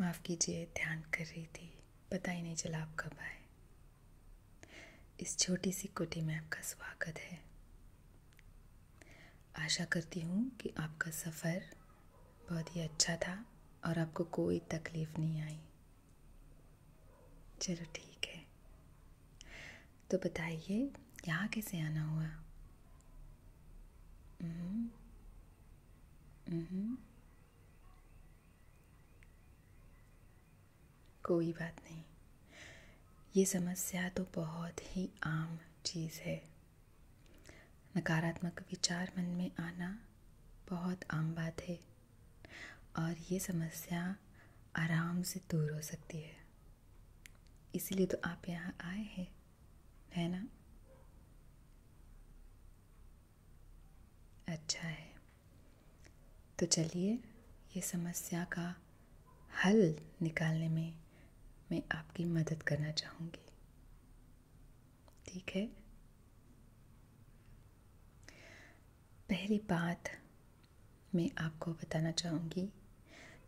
माफ़ कीजिए ध्यान कर रही थी पता ही नहीं चला आप कब आए इस छोटी सी कुटी में आपका स्वागत है आशा करती हूँ कि आपका सफ़र बहुत ही अच्छा था और आपको कोई तकलीफ़ नहीं आई चलो ठीक है तो बताइए यहाँ कैसे आना हुआ कोई बात नहीं ये समस्या तो बहुत ही आम चीज़ है नकारात्मक विचार मन में आना बहुत आम बात है और ये समस्या आराम से दूर हो सकती है इसलिए तो आप यहाँ आए हैं है ना अच्छा है तो चलिए ये समस्या का हल निकालने में मैं आपकी मदद करना चाहूँगी ठीक है पहली बात मैं आपको बताना चाहूँगी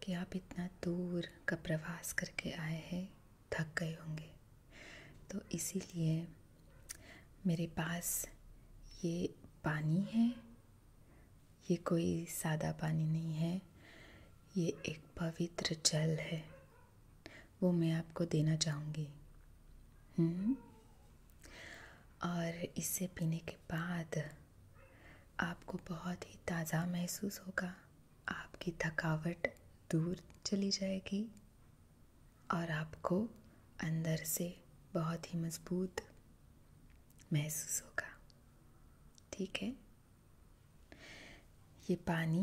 कि आप इतना दूर का प्रवास करके आए हैं थक गए होंगे तो इसीलिए मेरे पास ये पानी है ये कोई सादा पानी नहीं है ये एक पवित्र जल है वो मैं आपको देना चाहूँगी हम्म? और इसे पीने के बाद आपको बहुत ही ताज़ा महसूस होगा आपकी थकावट दूर चली जाएगी और आपको अंदर से बहुत ही मज़बूत महसूस होगा ठीक है ये पानी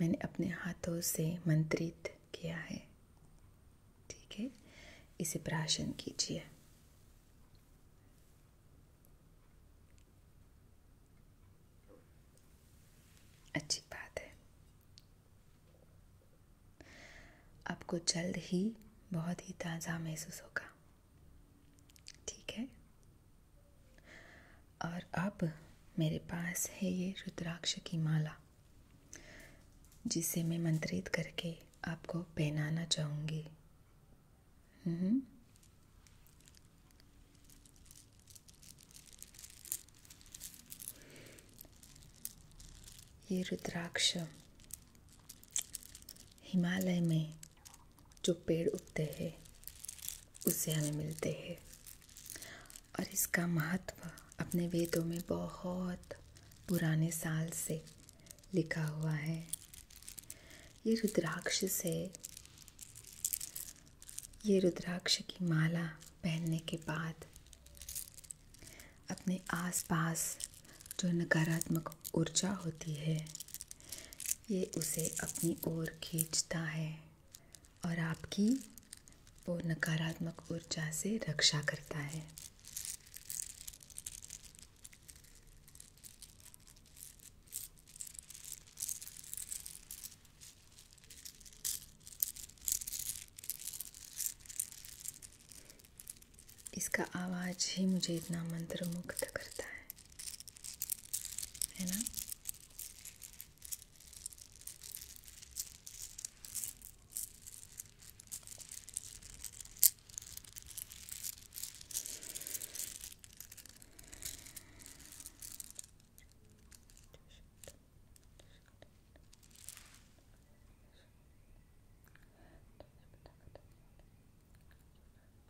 मैंने अपने हाथों से मंत्रित किया है ठीक है इसे प्राशन कीजिए अच्छी बात है आपको जल्द ही बहुत ही ताज़ा महसूस होगा ठीक है और अब मेरे पास है ये रुद्राक्ष की माला जिसे मैं मंत्रित करके आपको पहनाना चाहूँगी हम्म। ये रुद्राक्ष हिमालय में जो पेड़ उगते हैं उससे हमें मिलते हैं और इसका महत्व अपने वेदों में बहुत पुराने साल से लिखा हुआ है ये रुद्राक्ष से ये रुद्राक्ष की माला पहनने के बाद अपने आसपास जो नकारात्मक ऊर्जा होती है ये उसे अपनी ओर खींचता है और आपकी वो नकारात्मक ऊर्जा से रक्षा करता है इसका आवाज़ ही मुझे इतना मंत्र मुक्त करता है है ना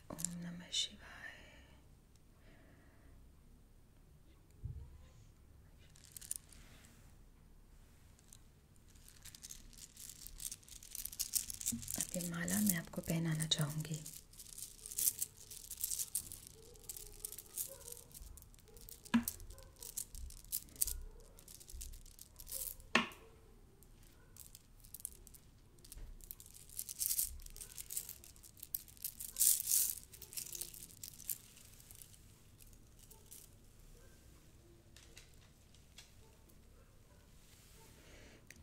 शिवाय ओम माला मैं आपको पहनाना चाहूँगी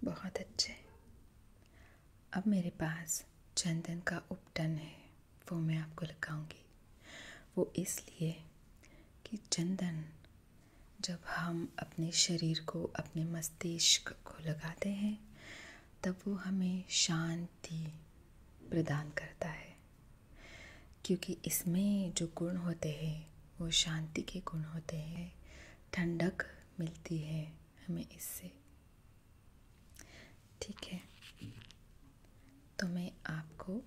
बहुत अच्छे अब मेरे पास चंदन का उपटन है वो मैं आपको लगाऊंगी वो इसलिए कि चंदन जब हम अपने शरीर को अपने मस्तिष्क को लगाते हैं तब वो हमें शांति प्रदान करता है क्योंकि इसमें जो गुण होते हैं वो शांति के गुण होते हैं ठंडक मिलती है हमें इससे ठीक है तो मैं आपको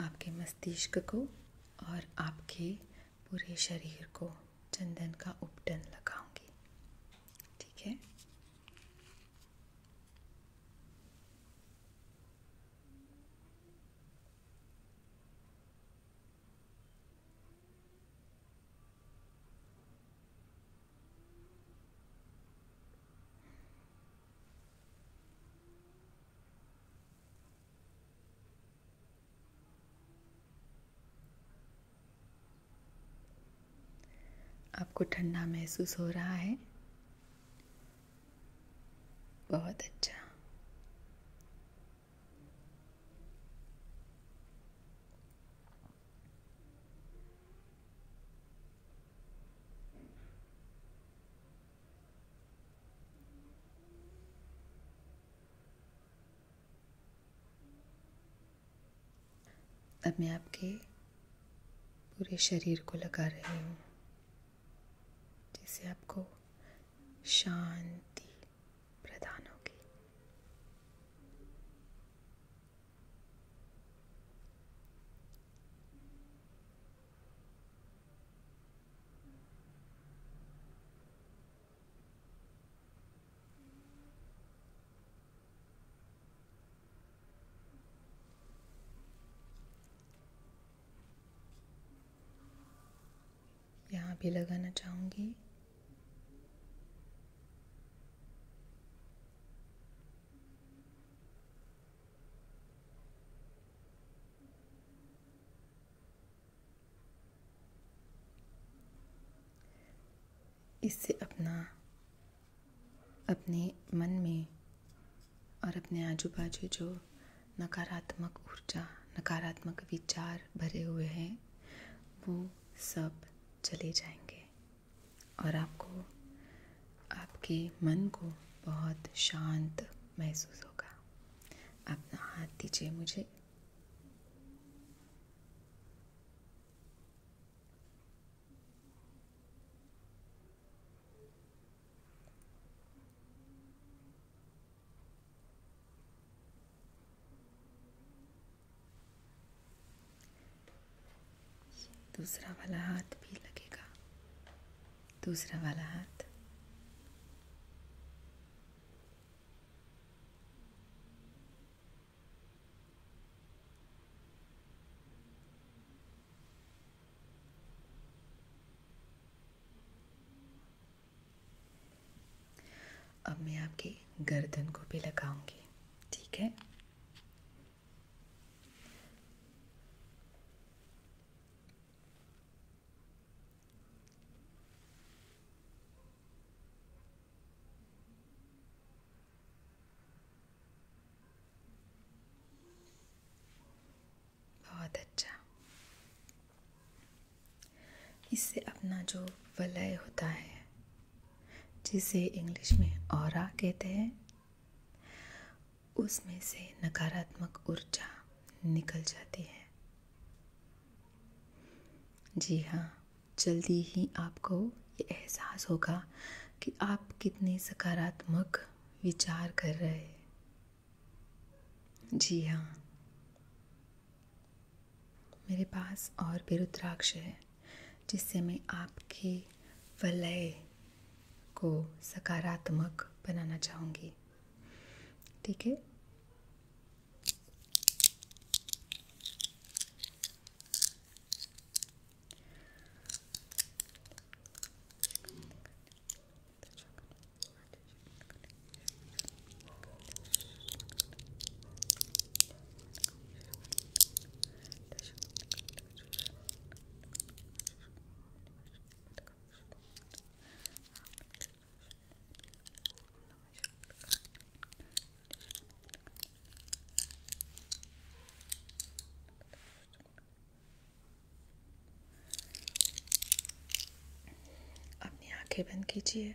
आपके मस्तिष्क को और आपके पूरे शरीर को चंदन का उपटन लगाऊंगी ठीक है आपको ठंडा महसूस हो रहा है बहुत अच्छा अब मैं आपके पूरे शरीर को लगा रही हूँ जिससे आपको शांति प्रदान होगी यहाँ भी लगाना चाहूंगी इससे अपना अपने मन में और अपने आजू बाजू जो नकारात्मक ऊर्जा नकारात्मक विचार भरे हुए हैं वो सब चले जाएंगे और आपको आपके मन को बहुत शांत महसूस होगा अपना हाथ दीजिए मुझे दूसरा वाला हाथ भी लगेगा दूसरा वाला हाथ अब मैं आपके गर्दन को भी लगाऊंगी ठीक है बहुत अच्छा इससे अपना जो वलय होता है जिसे इंग्लिश में और कहते हैं उसमें से नकारात्मक ऊर्जा निकल जाती है जी हाँ जल्दी ही आपको ये एहसास होगा कि आप कितने सकारात्मक विचार कर रहे हैं जी हाँ मेरे पास और भी रुद्राक्ष है जिससे मैं आपके वलय को सकारात्मक बनाना चाहूँगी ठीक है अपनी आंखें बंद कीजिए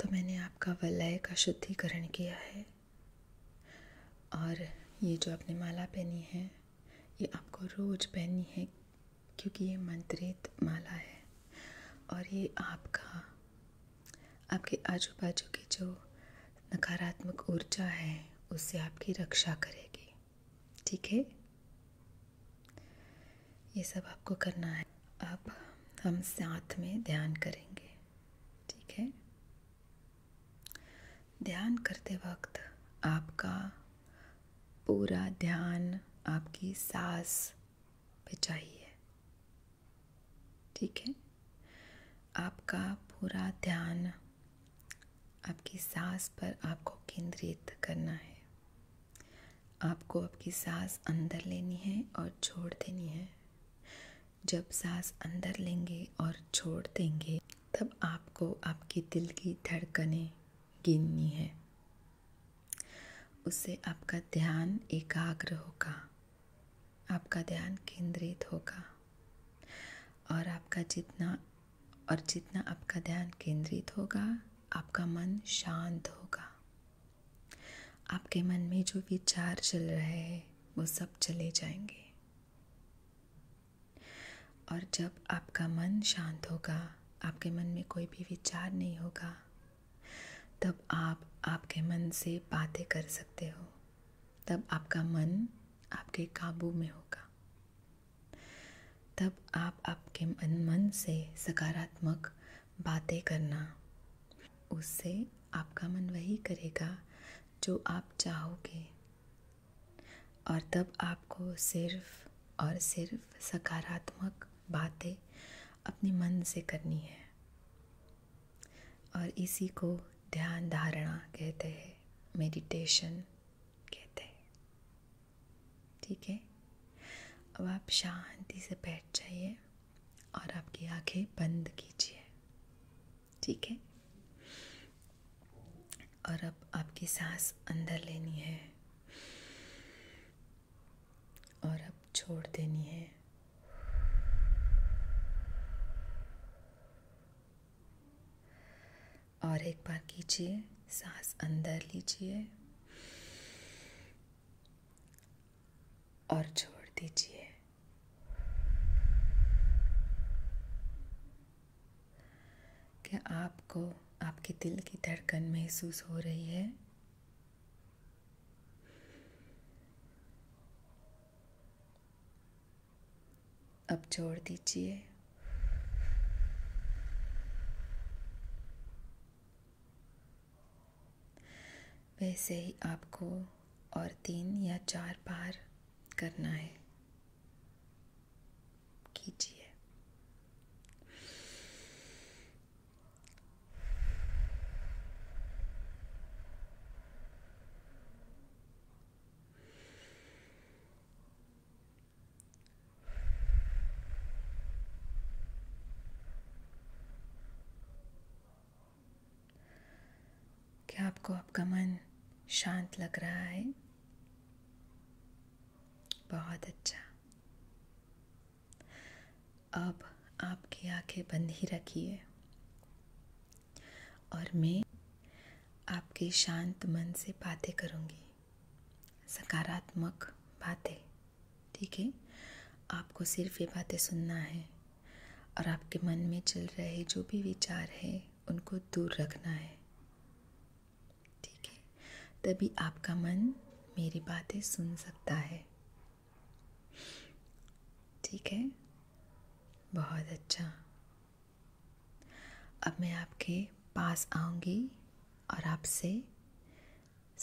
तो मैंने आपका वलय का शुद्धिकरण किया है और ये जो आपने माला पहनी है ये आपको रोज पहननी है क्योंकि ये मंत्रित माला है और ये आपका आपके आजू बाजू की जो नकारात्मक ऊर्जा है उससे आपकी रक्षा करेगी ठीक है ये सब आपको करना है अब हम साथ में ध्यान करेंगे ठीक है ध्यान करते वक्त आपका पूरा ध्यान आपकी सांस पे चाहिए ठीक है आपका पूरा ध्यान आपकी सांस पर आपको केंद्रित करना है आपको आपकी सांस अंदर लेनी है और छोड़ देनी है जब सांस अंदर लेंगे और छोड़ देंगे तब आपको आपके दिल की धड़कनें गिननी है उससे आपका ध्यान एकाग्र होगा आपका ध्यान केंद्रित होगा और आपका जितना और जितना आपका ध्यान केंद्रित होगा आपका मन शांत होगा आपके मन में जो विचार चल रहे हैं वो सब चले जाएंगे और जब आपका मन शांत होगा आपके मन में कोई भी विचार नहीं होगा तब आप आपके मन से बातें कर सकते हो तब आपका मन आपके काबू में होगा तब आप आपके मन मन से सकारात्मक बातें करना उससे आपका मन वही करेगा जो आप चाहोगे और तब आपको सिर्फ और सिर्फ सकारात्मक बातें अपने मन से करनी है और इसी को ध्यान धारणा कहते हैं मेडिटेशन कहते हैं ठीक है अब आप शांति से बैठ जाइए और आपकी आंखें बंद कीजिए ठीक है और अब आपकी सांस अंदर लेनी है और अब छोड़ देनी है और एक बार कीजिए सांस अंदर लीजिए और छोड़ दीजिए क्या आपको आपके दिल की धड़कन महसूस हो रही है अब जोड़ दीजिए वैसे ही आपको और तीन या चार बार करना है कीजिए क्या आपको आपका मन शांत लग रहा है बहुत अच्छा अब आपकी आंखें बंद ही रखिए और मैं आपके शांत मन से बातें करूँगी सकारात्मक बातें ठीक है आपको सिर्फ ये बातें सुनना है और आपके मन में चल रहे जो भी विचार है उनको दूर रखना है ठीक है तभी आपका मन मेरी बातें सुन सकता है ठीक है बहुत अच्छा अब मैं आपके पास आऊंगी और आपसे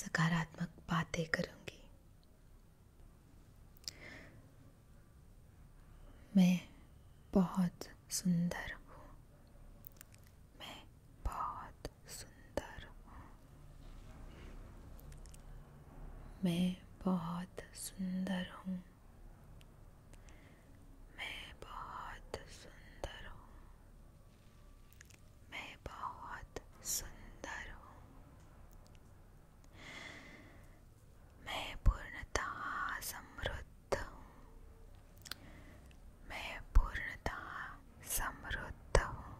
सकारात्मक बातें करूंगी मैं बहुत सुंदर हूँ बहुत सुंदर हूँ मैं बहुत सुंदर हूँ मैं बहुत सुंदर हूँ मैं बहुत सुंदर हूँ मैं पूर्णतः समृद्ध हूँ मैं पूर्णतः समृद्ध हूँ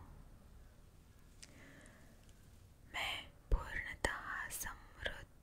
मैं पूर्णतः समृद्ध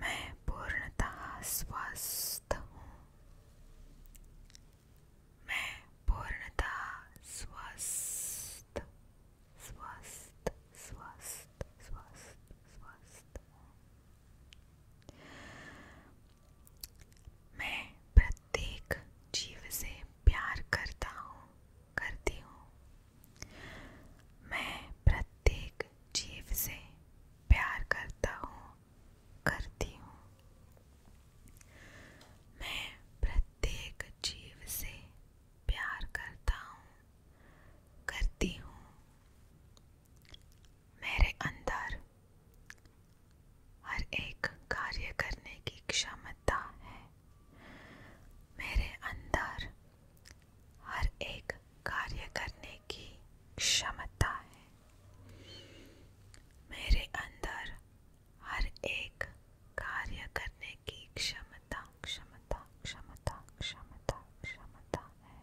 मैं पूर्णतः स्वस्थ हूँ मैं पूर्णतः स्वस्थ स्वस्थ स्वस्थ स्वस्थ स्वस्थ हूँ मैं प्रत्येक जीव से प्यार करता हूँ करती हूँ मैं प्रत्येक जीव से प्यार करता हूँ करती हूँ मैं प्रत्येक जीव से प्यार करता हूँ करती हूँ मेरे अंदर हर एक कार्य करने की क्षमता है मेरे अंदर हर एक कार्य करने की क्षमता है मेरे अंदर हर एक कार्य करने की क्षमता क्षमता क्षमता क्षमता क्षमता है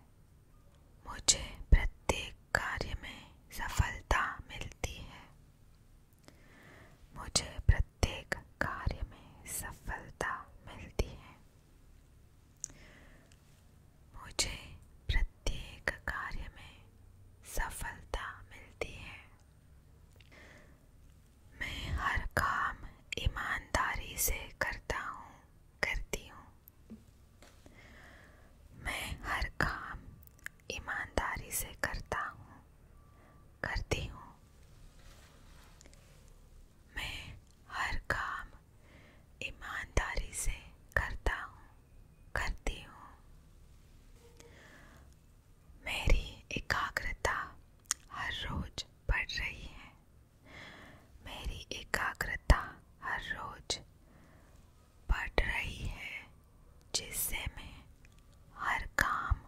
मुझे प्रत्येक कार्य में सफलता मिलती है मुझे प्रत्येक कार्य में सफलता मिलती है मुझे प्रत्येक कार्य में सफलता मिलती है मैं हर काम ईमानदारी से करता हूँ करती हूँ मैं हर काम ईमानदारी से करता हूँ करती हूँ मैं हर काम ईमानदारी से करता हूँ करती हूँ मेरी एकाग्रता हर रोज बढ़ रही है मेरी एकाग्रता हर रोज बढ़ रही है जिससे मैं हर काम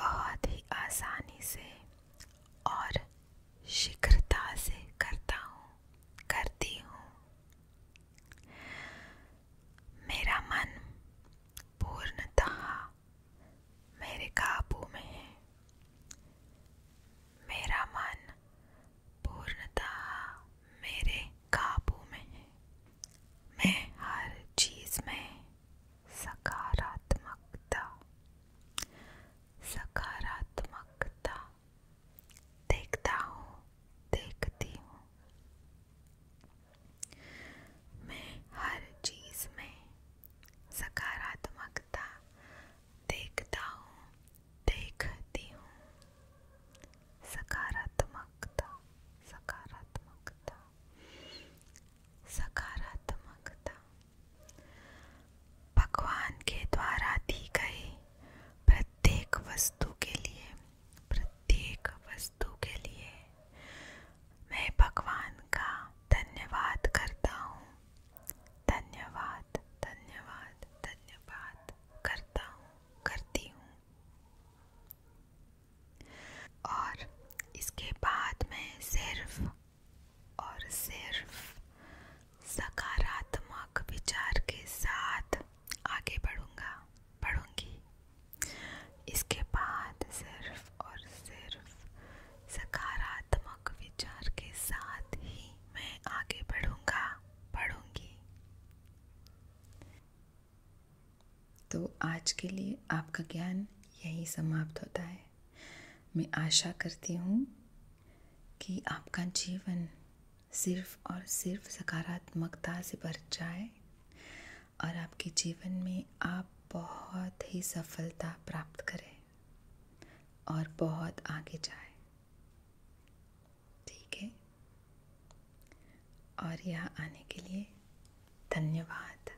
बहुत ही आसानी से और शीघ्रता से करता हूँ करती हूँ मेरा मन पूर्णतः मेरे काबू में है मेरा मन पूर्णतः मेरे काबू में है मैं हर चीज़ में सकारात्मकता सकारात्मकता देखता हूँ देखती हूँ मैं हर चीज में सकारात्मकता देखता हूँ देखती हूँ सकारात्मकता सकारात्मकता सकारात्मकता भगवान के द्वारा दी गई प्रत्येक वस्तु के लिए प्रत्येक वस्तु के लिए मैं भगवान का धन्यवाद करता हूँ धन्यवाद धन्यवाद धन्यवाद करता हूँ करती हूँ और इसके बाद मैं सिर्फ सिर्फ सकारात्मक विचार के साथ आगे बढ़ूंगा बढ़ूंगी इसके बाद सकारात्मक विचार के साथ ही मैं आगे बढ़ूंगा बढ़ूंगी तो आज के लिए आपका ज्ञान यही समाप्त होता है मैं आशा करती हूँ कि आपका जीवन सिर्फ और सिर्फ सकारात्मकता से भर जाए और आपके जीवन में आप बहुत ही सफलता प्राप्त करें और बहुत आगे जाए ठीक है और यहाँ आने के लिए धन्यवाद